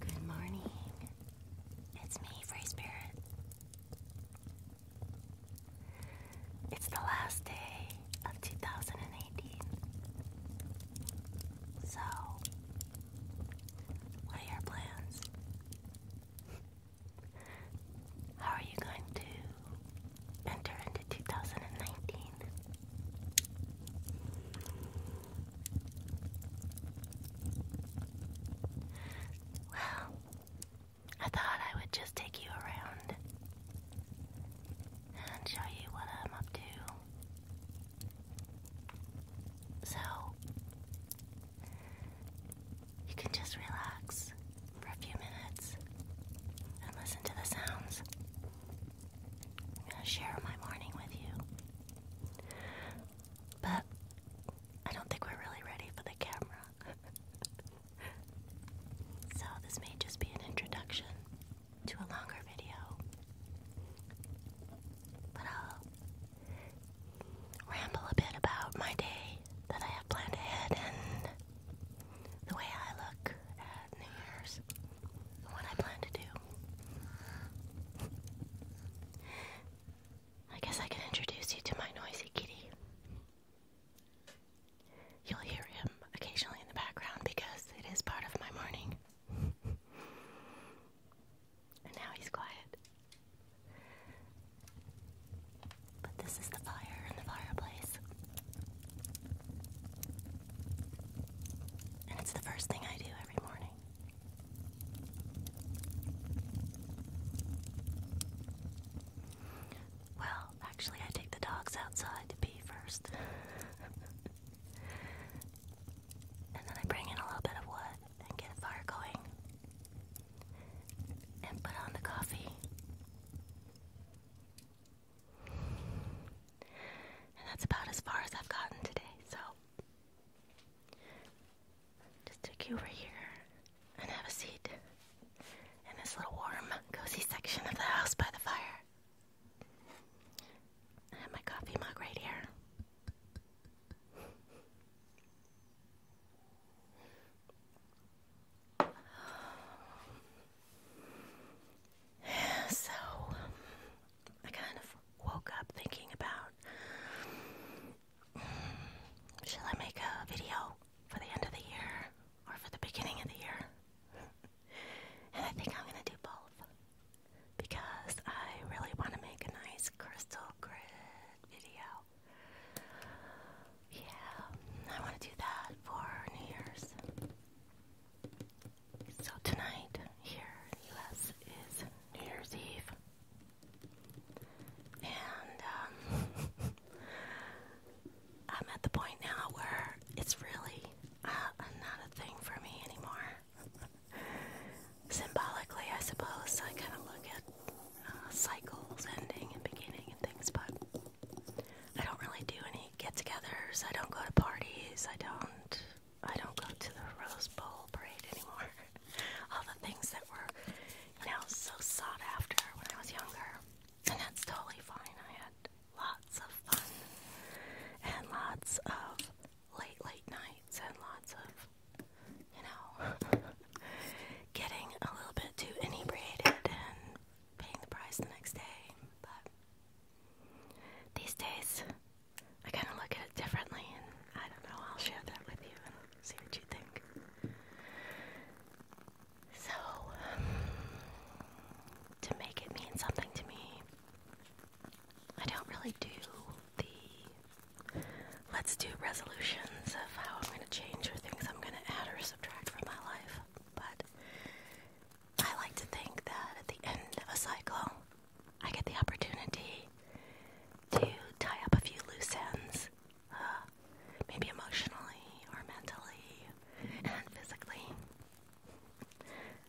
Good morning. It's me, Free Spirit. It's the last day of 2018. So, what are your plans? How are you going to enter into 2019? Well, I thought I would just take you around and show you what I'm up to. So, you can just relax for a few minutes and listen to the sounds. I'm going to share my morning with you. But I don't think we're really ready for the camera. so, this may just be an introduction to a longer video, but I'll ramble a bit about my day that I have planned ahead and the way I look at New Year's and what I plan to do. I guess I can introduce you to my noisy kitty. You'll hear him occasionally in the background because it is part of my morning. and now he's quiet. But this is the fire in the fireplace. And it's the first thing I do every morning. Well, actually, I take the dogs outside to pee first. and then I bring in a little bit of wood and get a fire going. And put on the coffee. And that's about as far as I've gotten today, so. Just took you over here and have a seat in this little warm, cozy section of the house by the fire. I have my coffee mug right here. So, I kind of woke up thinking about shall I make a video for the end of the year or for the beginning of the year. and I think I'm going to do both because I really want to make a nice crystal grid video. Yeah, I want to do that for New Year's. So tonight here in the US is New Year's Eve. And um, I'm at the point now where it's really uh, not a thing for me anymore. Symbolically, I suppose, I kind of look at uh, cycles ending and beginning and things, but I don't really do any get-togethers. I don't go to parties. I don't. I don't go to the Rose Bowl parade anymore. All the things that were, you know, so sought after when I was younger and that's totally fine. I had lots of fun and lots of late, late nights and lots of, you know, getting a little bit too inebriated and paying the price the next day. But these days, I kind of look at it differently, and I don't know. I'll share that with you and see what you think. So, to make it mean something to me, I don't really do the let's do resolutions of how I'm going to change or things I'm going to add or subtract from my life, but I like to think that at the end of a cycle, I get the opportunity to tie up a few loose ends. Uh, maybe emotionally or mentally and physically.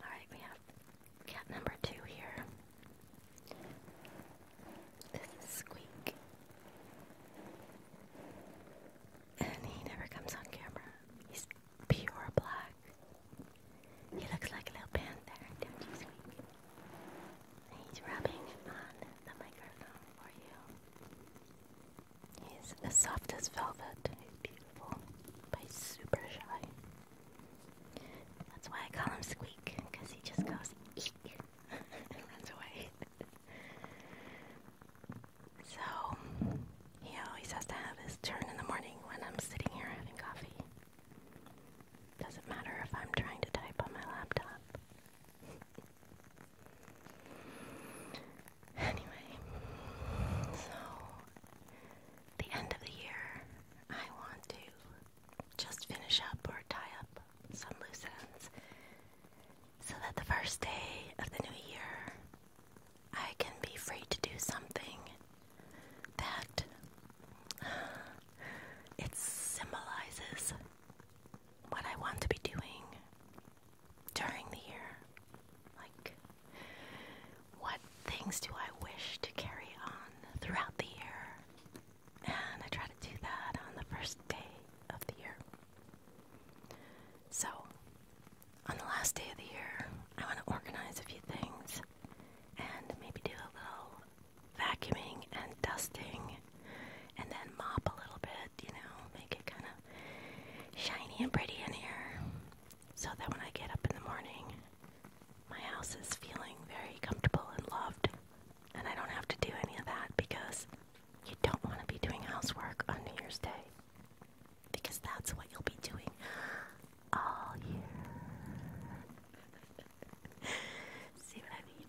Alright, we have cat number two here. This is Squeak. And he never comes on camera. He's pure black. He looks like a little panther, don't you, Squeak? He's rubbing on the microphone for you. He's as soft as velvet. He's beautiful, but he's super shy. That's why I call him Squeak, he just goes eek and runs away. so, he always has to have his turn in the morning when I'm sitting here having coffee. Doesn't matter if I'm trying to type on my laptop. Anyway, so the end of the year, I want to just finish up or tie up some loose ends so that the first day of the new year I can be free to do something that uh, it symbolizes what I want to be doing during the year. Like, what things do I wish to carry on throughout the year? And I try to do that on the first day of the year. So, on the last day of the year, I want to organize a few things and maybe do a little vacuuming and dusting and then mop a little bit, you know, make it kind of shiny and pretty in here so that when I get up in the morning, my house is feeling very comfortable and loved. And I don't have to do any of that because you don't want to be doing housework on New Year's Day because that's what you'll be doing all year. See what I mean?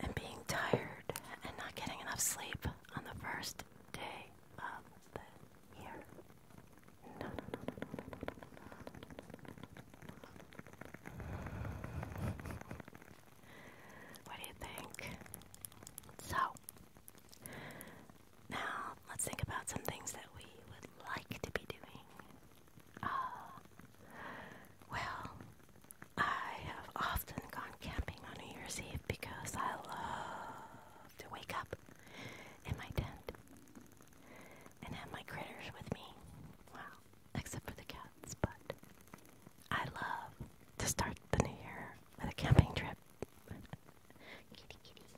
and being tired and not getting enough sleep on the first day of the year. What do you think? So, now let's think about some things that we would like to be doing. well, I have often gone camping on New Year's Eve because I love to wake up in my tent and have my critters with me. Well, except for the cats, but I love to start the new year with a camping trip. kitty, kitty.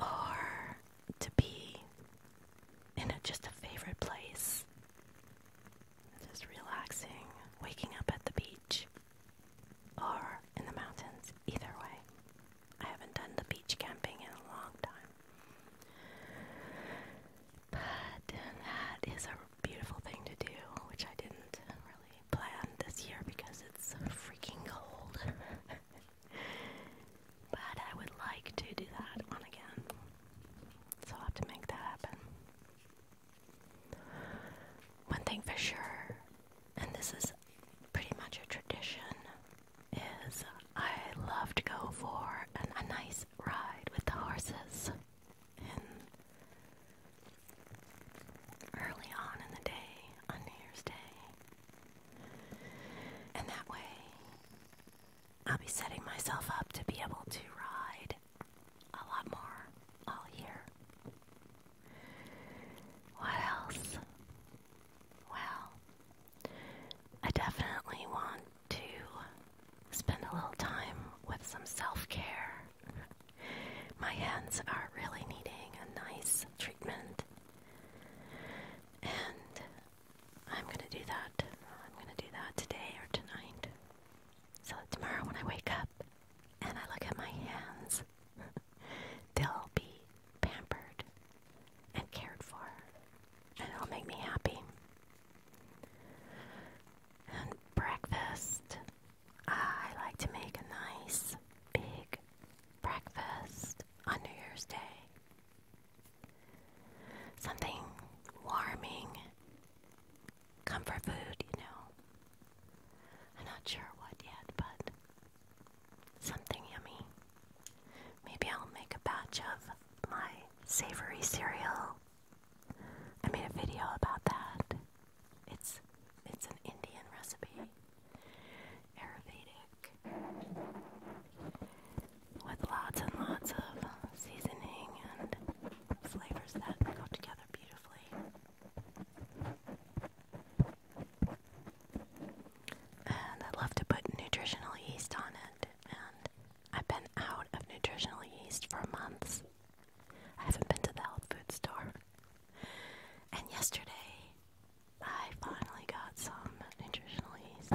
Or to be in just a favorite place just relaxing, waking up at the beach or in the mountains, either way. I haven't done the beach camping in a long time. But that is a beautiful thing to do, which I didn't really plan this year because it's freaking cold. but I would like to do that one again. So i have to make that happen. One thing for sure, and this is pretty much a tradition, is I love to go for a nice ride with the horses. early on in the day, on New Year's Day. And that way, I'll be setting myself up to be able to ride a lot more all year. What else? Well, I definitely want to spend a little time with some self care. My hands are really needing a nice treatment. And I'm gonna do that. I'm gonna do that today or tonight. So tomorrow when I wake up and I look at my hands, they'll be pampered and cared for, and it'll make me happy. And breakfast, I like to make a nice big breakfast on New Year's Day something warming, comfort food, you know. I'm not sure what yet, but something yummy. Maybe I'll make a batch of my savory cereal. I made a video about that. It's it's an Indian recipe. Ayurvedic with lots and lots of seasoning and flavors that go together beautifully. And I love to put nutritional yeast on it, and I've been out of nutritional yeast for months. I haven't been to the health food store. And yesterday, I finally got some nutritional yeast.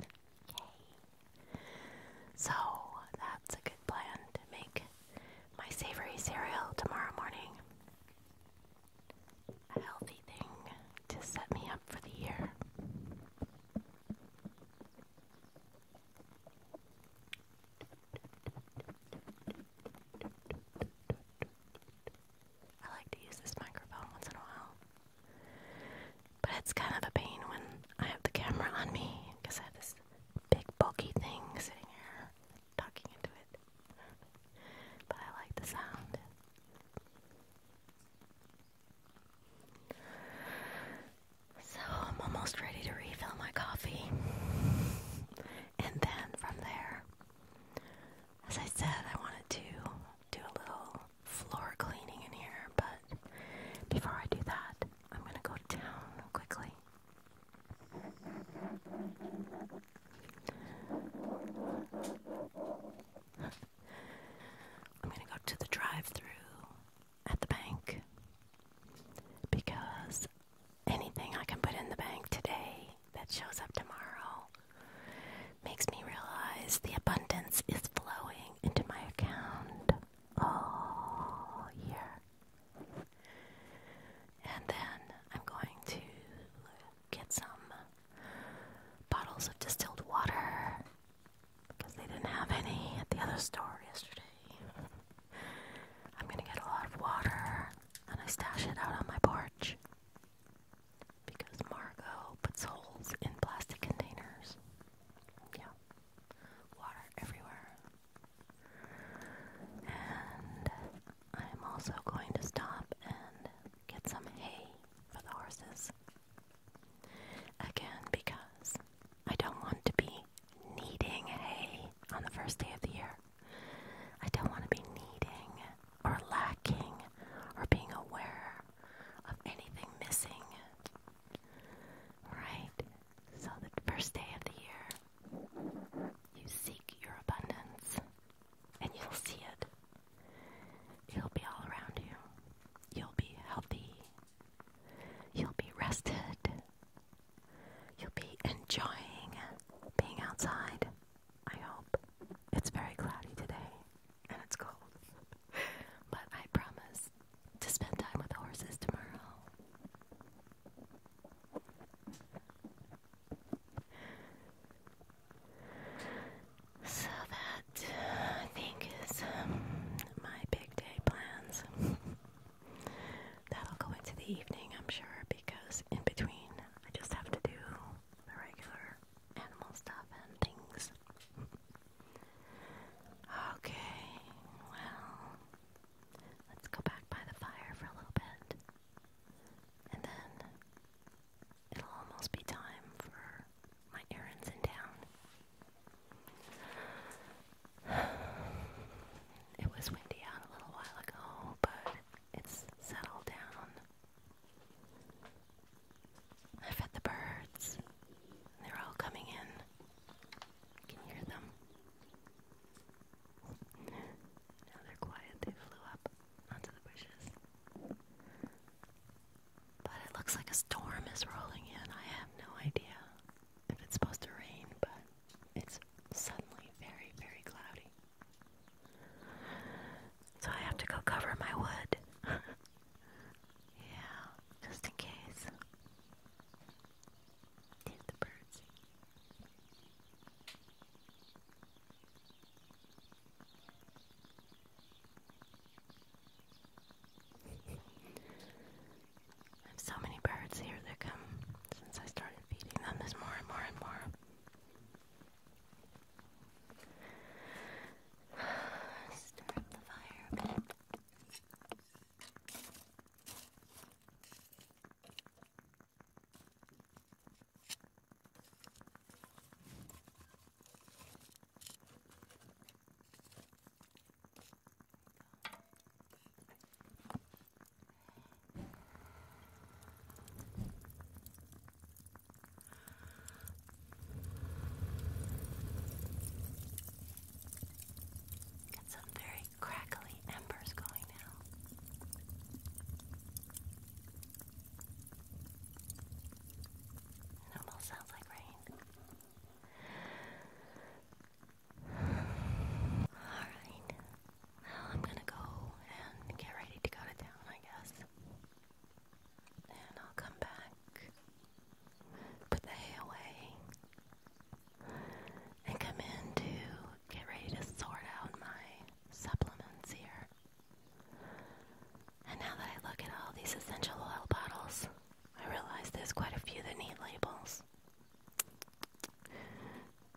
So that's a good plan to make my savory cereal tomorrow morning. A healthy thing to set me up for the year. I like to use this microphone once in a while. But it's kind of a pain when I have the camera on me because I have this big bulky thing sitting here talking into it. But I like the sound. So I'm almost ready to refill my coffee. And then from there, as I said, I wanted to do a little floor cleaning in here, but before I do that, I'm gonna go down quickly. I'm gonna go to the drive through at the bank because anything I can put in the bank today that shows up tomorrow Makes me realize the abundance is flowing into my account all year. And then I'm going to get some bottles of distilled water because they didn't have any at the other store yesterday. I'm gonna get a lot of water and I stash it out on my porch because Margot puts holes in plastic containers. Yeah. Water everywhere. And I'm also going to stop and get some hay for the horses. Again, because I don't want to be needing hay on the first day of the year. I don't want to be needing or lacking or being aware of anything missing. Right? So, the first day of the year, you seek your abundance and you'll see it. It'll be all around you. You'll be healthy. You'll be rested. You'll be enjoying being outside. I hope. It's very cloudy today and it's cold. but I promise to spend time with the horses tomorrow. So that I think is um, my big day plans. That'll go into the evening, I'm sure, because in between I just have to do the regular animal stuff and things. okay, well, let's go back by the fire for a little bit. And then it'll almost be time for my errands in town. It was windy out a little while ago, but it's settled down. I fed the birds. They're all coming in. You can hear them. Now they're quiet. They flew up onto the bushes. But it looks like a storm is rolling in. I have no idea if it's supposed to rain, but it's suddenly very, very cloudy. So I have to go cover my wood. yeah, just in case. There's the birds. I have so many birds here that come since I started feeding them. There's more and more and more. Stir up the fire a bit. There we go. Got some very crackly embers going now. It almost sounds like rain. All right. I'm gonna go and get ready to go to town, I guess. And I'll come back, put the hay away, and come in to get ready to sort out my supplements here. And now that I look at all these essential oil bottles, I realize there's quite a few that need labels.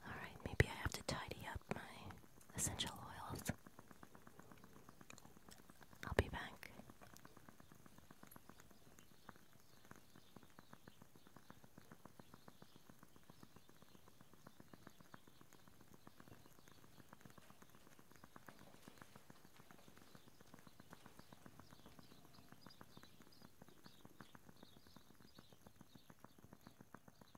Alright, maybe I have to tidy up my essential oils. I'll be back.